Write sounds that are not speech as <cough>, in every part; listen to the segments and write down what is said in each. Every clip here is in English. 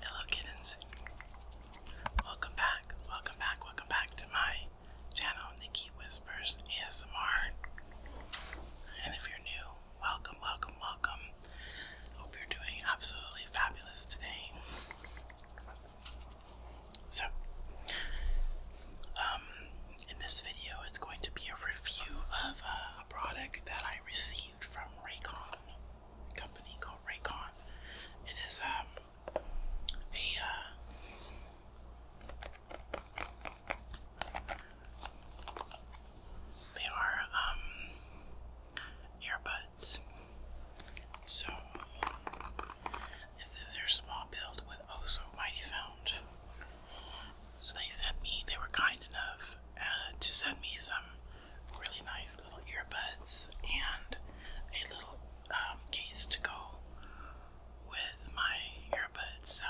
Hello, kittens. Welcome back, welcome back, welcome back to my channel, Nikki Whispers ASMR. And if you're new, Welcome, welcome, welcome. Hope you're doing absolutely fabulous today. So, um, in this video, it's going to be a review of uh, a product that I received from Raycon, company called Raycon. It is um, a uh, they are um, earbuds. So it says they're small build with oh so mighty sound. So they sent me, they were kind enough uh, to send me some really nice little earbuds and a little um, case to go with my earbuds. So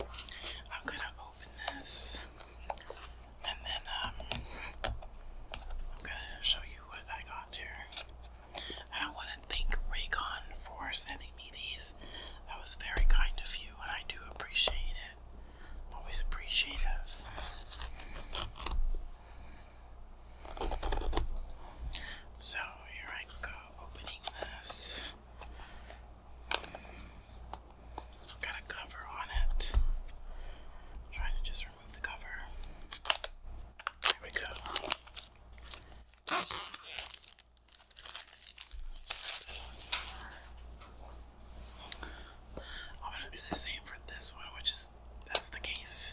I'm gonna open this. And then um, I'm gonna show you what I got here. I want to thank Raycon for sending me these. That was very kind of you, and I do appreciate it. always appreciative. So here I go, opening this. Got a cover on it. trying to just remove the cover. There we go. I'm gonna do the same for this one, which is that's the case.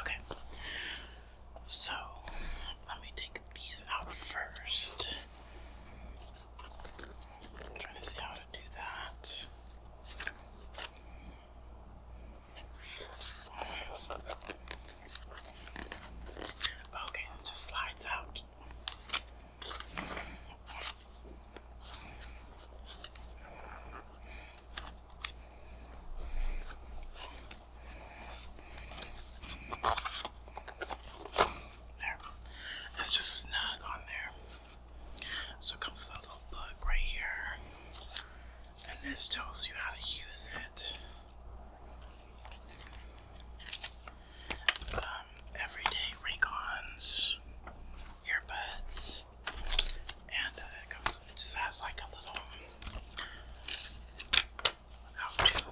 Okay, so let me take these out 1st trying to see how to do that. Okay, it just slides out. There. It's just snug on there. So it comes with a little book right here. And this tells you how to use it. Um, everyday Raycons, earbuds, and uh, it comes. It just has like a little how to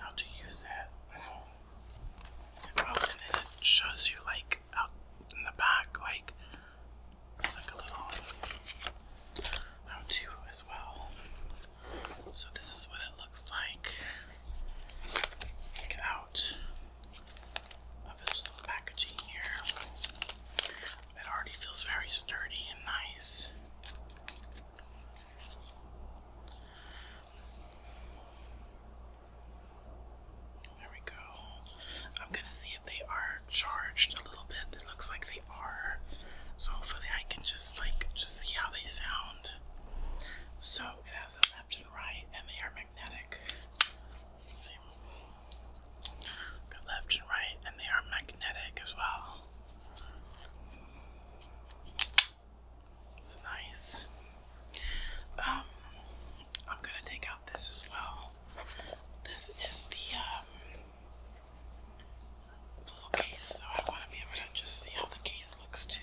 how to use that. and then it shows you like in the back, like it's like a little out will as well. So this is what it looks like. Take out of its little packaging here. It already feels very sturdy and nice. There we go. I'm gonna see if they are charged a little bit. It looks like they are. So hopefully I can just like just see how they sound. So it has a left and right and they are magnetic. left and right and they are magnetic as well. It's nice. Um I'm gonna take out this as well. This is the um, it's so I want to be able to just see how the case looks too.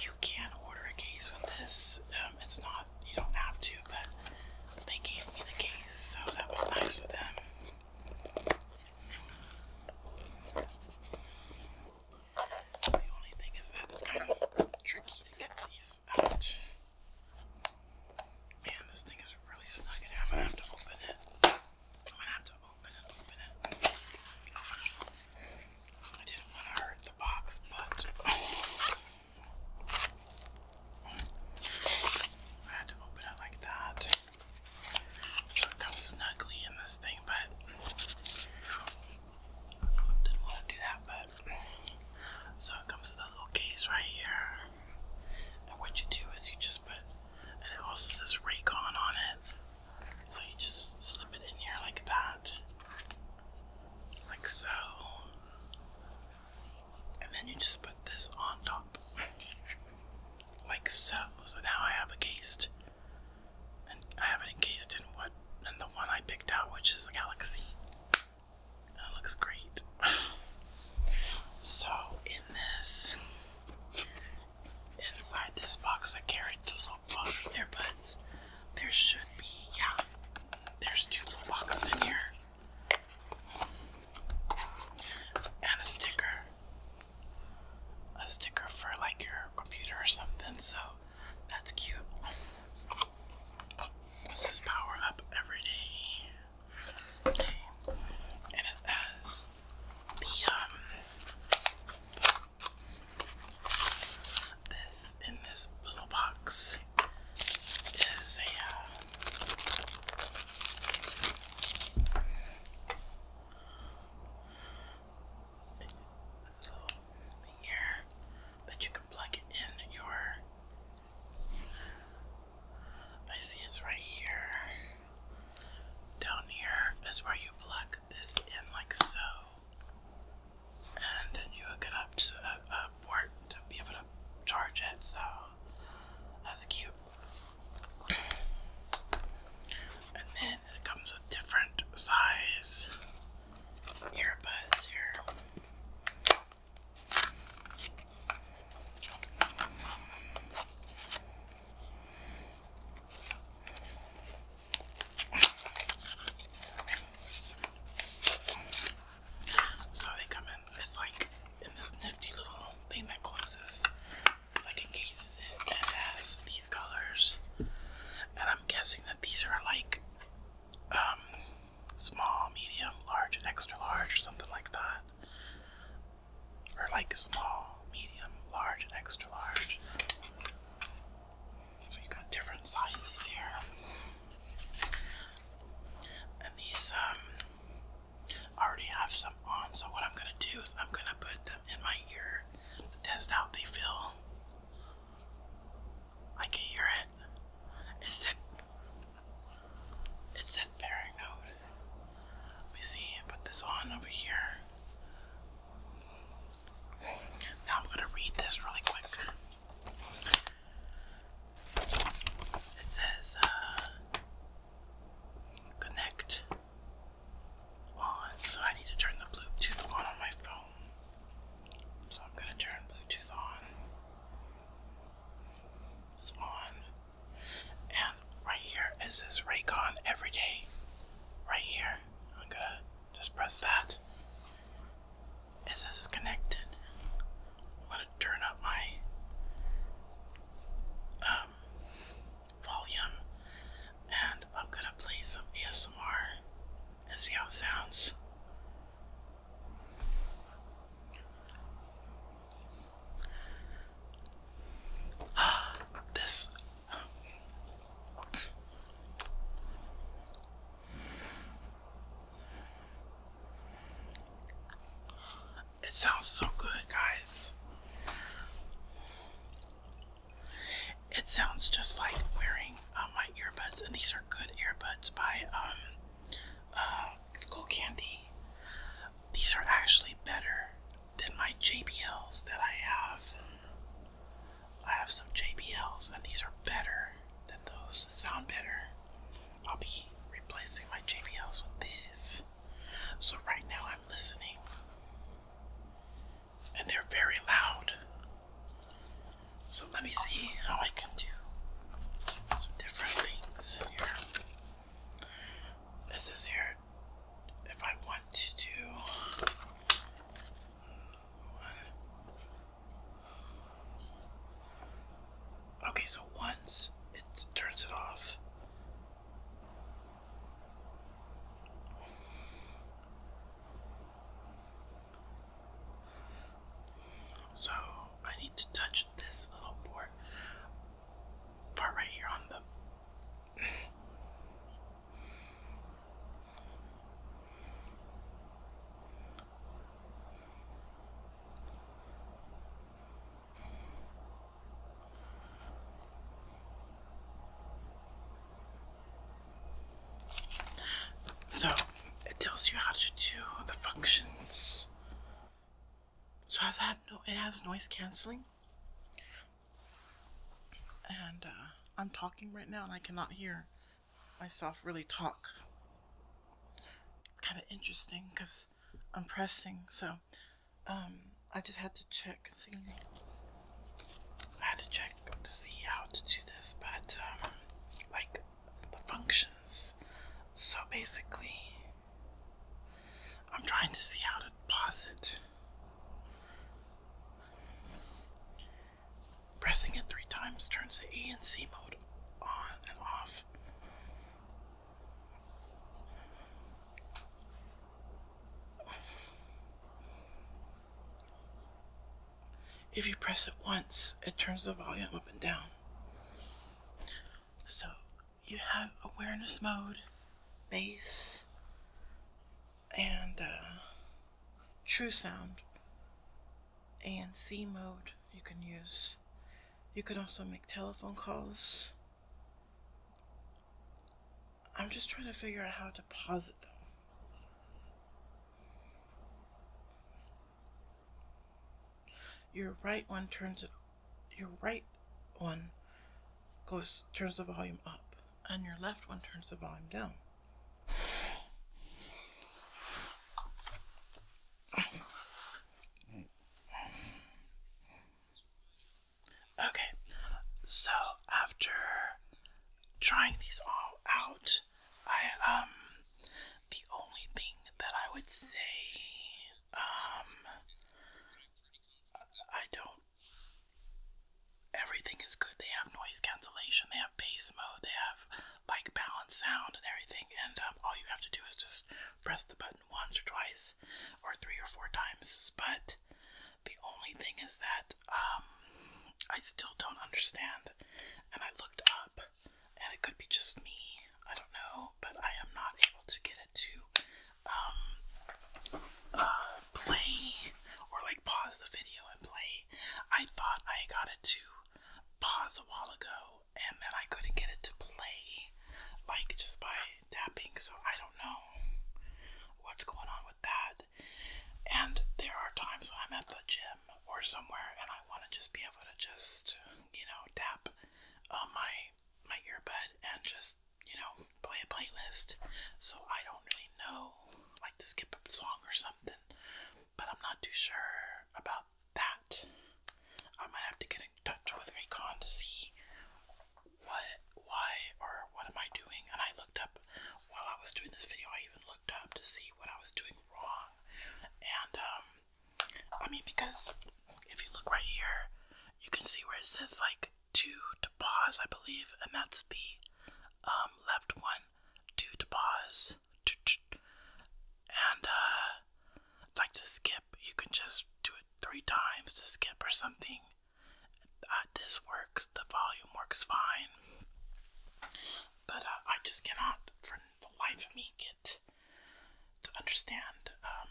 You can order a case with this. Um, it's not, you don't have to, but they gave me the case, so that was nice of them. The only thing is that it's kind of tricky to get these out. Man, this thing is really stuck in I'm gonna have to open it. I'm gonna have to open it, open it. I didn't want to hurt the box, but I had to open it like that. So it comes snugly in this thing, but didn't want to do that, but so it comes with a little case right here. And what you do is you just put, and it also says Raycon on it. So you just slip it in here like that, like so. And then you just put this on top, like so. So now I have a encased, and I have it encased in what, in the one I picked out, which is the Galaxy. That looks great. So, in this, inside this box, I carried two little box earbuds. There should be, yeah, there's two little boxes in here. And a sticker. A sticker for like your computer or something, so that's cute. This is power up every day. And it has the um this in this little box is a uh, thing here that you can plug in your I see it's right here. Down here is where you plug this in, like so. And then you hook it up to a, port to be able to charge it, so that's cute. And then it comes with different size earbuds here. So they come in, it's like in this nifty little thing that closes, like encases it, and has these colors. And I'm guessing that these are like, um, small, medium, large, and extra large, or something like that. Or like small, medium, large, and extra large. So you got different sizes here. And these um already have some on, so what I'm gonna do is I'm gonna put them in my ear test out they feel. I can hear it. It's that. It's that pairing note. Let me see. Put this on over here. Now I'm gonna read this really quick. It says, uh, connect on. So I need to turn the Bluetooth on on my phone. So I'm going to turn Bluetooth on. It's on. And right here is this Raycon Everyday. Right here. I'm going to just press that. It says connected. I'm going to turn up my um, volume and I'm going to play some ASMR. Let's see how it sounds. <gasps> this. It sounds so good, guys. It sounds just like wearing uh, my earbuds, and these are good earbuds by um, uh, Gold Candy. These are actually better than my JBLs that I have. I have some JBLs, and these are better than those sound better. I'll be replacing my JBLs with these. So, right now, I'm listening and they're very loud. So let me see how I can do some different things here. This is here if I want to do Okay, so once it turns it off. So I need to touch this little port part right here on the so it tells you how to do the functions. So has that no it has noise canceling. And uh, I'm talking right now and I cannot hear myself really talk. Kind of interesting because I'm pressing. So um, I just had to check and see. I had to check to see how to do this, but um, like the functions. So basically, I'm trying to see how to pause it. Pressing it three times turns the E and C mode on and off. If you press it once, it turns the volume up and down. So you have awareness mode, bass, and uh, true sound, and C mode you can use. You can also make telephone calls. I'm just trying to figure out how to pause it though. Your right one turns it your right one goes turns the volume up and your left one turns the volume down. Okay, so after trying these all out, I, um, the only thing that I would say, um, I don't, everything is good. They have noise cancellation, they have bass mode, they have like balanced sound and everything, and um, all you have to do is just press the button once or twice or three or four times. But the only thing is that um, I still don't understand, and I looked up, and it could be just me. I don't know, but I am not able to get it to um, uh, play or like pause the video and play. I thought I got it to pause a while ago, and then I couldn't get it to play, like just by tapping. So I don't know what's going on with that. And there are times when I'm at the gym or somewhere and I want to just be able to just, you know, tap uh, my my earbud and just, you know, play a playlist. So I don't really know, like to skip a song or something, but I'm not too sure about that. I might have to get in touch with Raycon to see what, why, or what am I doing? And I looked up while I was doing this video, I even looked up to see what I was doing wrong. And, um, I mean, because if you look right here, you can see where it says like two to pause, I believe, and that's the um, left one, two to pause, and uh, like to skip, you can just do it three times to skip or something. Uh, this works, the volume works fine, but uh, I just cannot, for the life of me, get to understand um,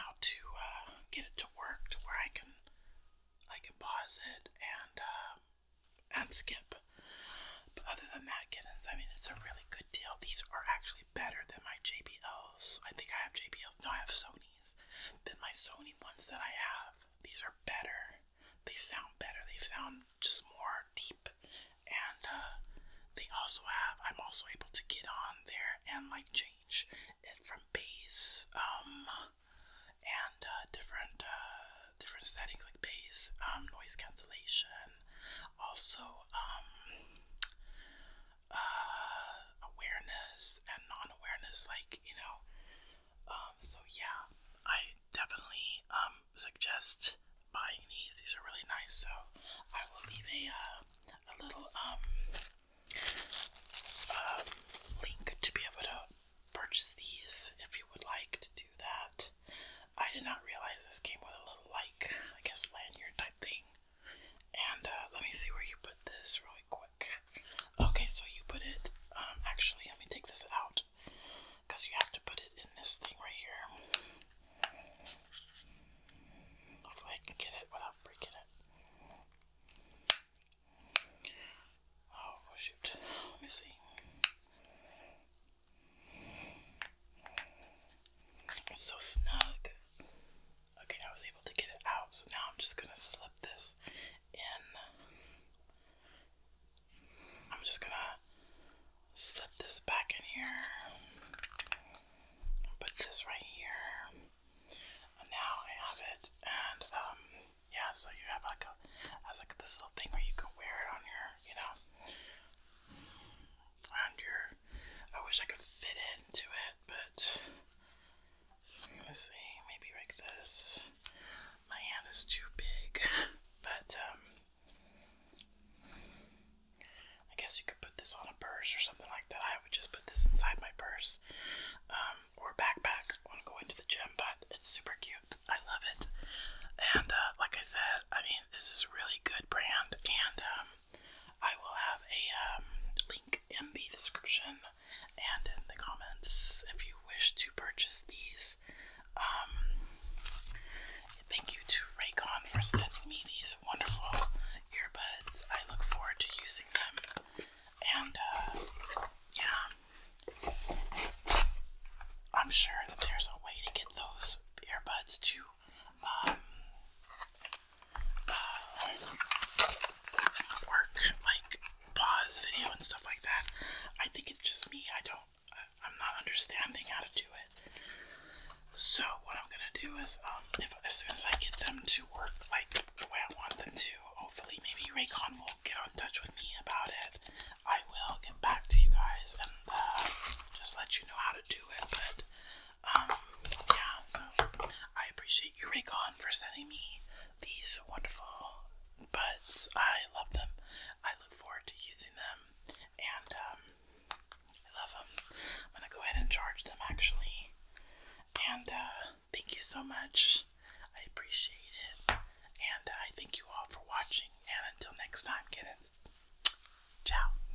how to uh, get it to work to where I can I can pause it and um, and skip. But other than that, kittens, I mean, it's a really good deal. These are actually better than my JBLs. I think I have JBL. No, I have Sony Sony's than my Sony ones that I have. These are better. They sound better. They sound just more deep. And uh, they also have, I'm also able to get on there and like change it from bass um, and uh, different, uh, different settings like bass, um, noise cancellation, also um, uh, awareness and non-awareness, like you know. Um, so yeah, I definitely um suggest buying these. These are really nice. So I will leave a uh, a little um um link to be able to purchase these if you would like to do that. I did not realize this came with a little like I guess lanyard type thing. And uh, let me see where you put this really quick. Okay, so you put it, um, actually, let me take this out because you have to put it in this thing right here. Hopefully, I can get it without breaking it. Oh, oh shoot. Let me see. It's so snug. Okay, I was able to get it out, so now I'm just gonna slip this in. I'm just gonna slip this back in here. Put this right here. And now I have it, and um, yeah. So you have like a, as like this little thing where you can wear it on your, you know, around your I wish I could fit into it, but let's see, maybe like this. My hand is too big, but um, I guess you could put this on a purse or something like that. I would just put this inside my purse um, or backpack when going to the gym, but it's super cute. I love it. And uh, like I said, I mean, this is really good brand, and um, I will have a um, link in the description and in the comments if you wish to purchase these. Um, thank you to Raycon for sending me these wonderful earbuds. I look forward to using them. And, uh, yeah. I'm sure that there's a way to get those earbuds to um, uh, work like pause video and stuff like that. I think it's just me. I don't. I'm not understanding how to do it. So what I'm gonna do is, um, as soon as I get them to work like the way I want them to, hopefully maybe Raycon will get on touch with me about it. I will get back to you guys and uh, just let you know how to do it. But um, yeah, so I appreciate you, Raycon, for sending me these wonderful buds. I love them. I look forward to using them, and um, I love them. I'm gonna go ahead and charge them actually. And uh, thank you so much. I appreciate it. And I thank you all for watching. And until next time, kittens, ciao.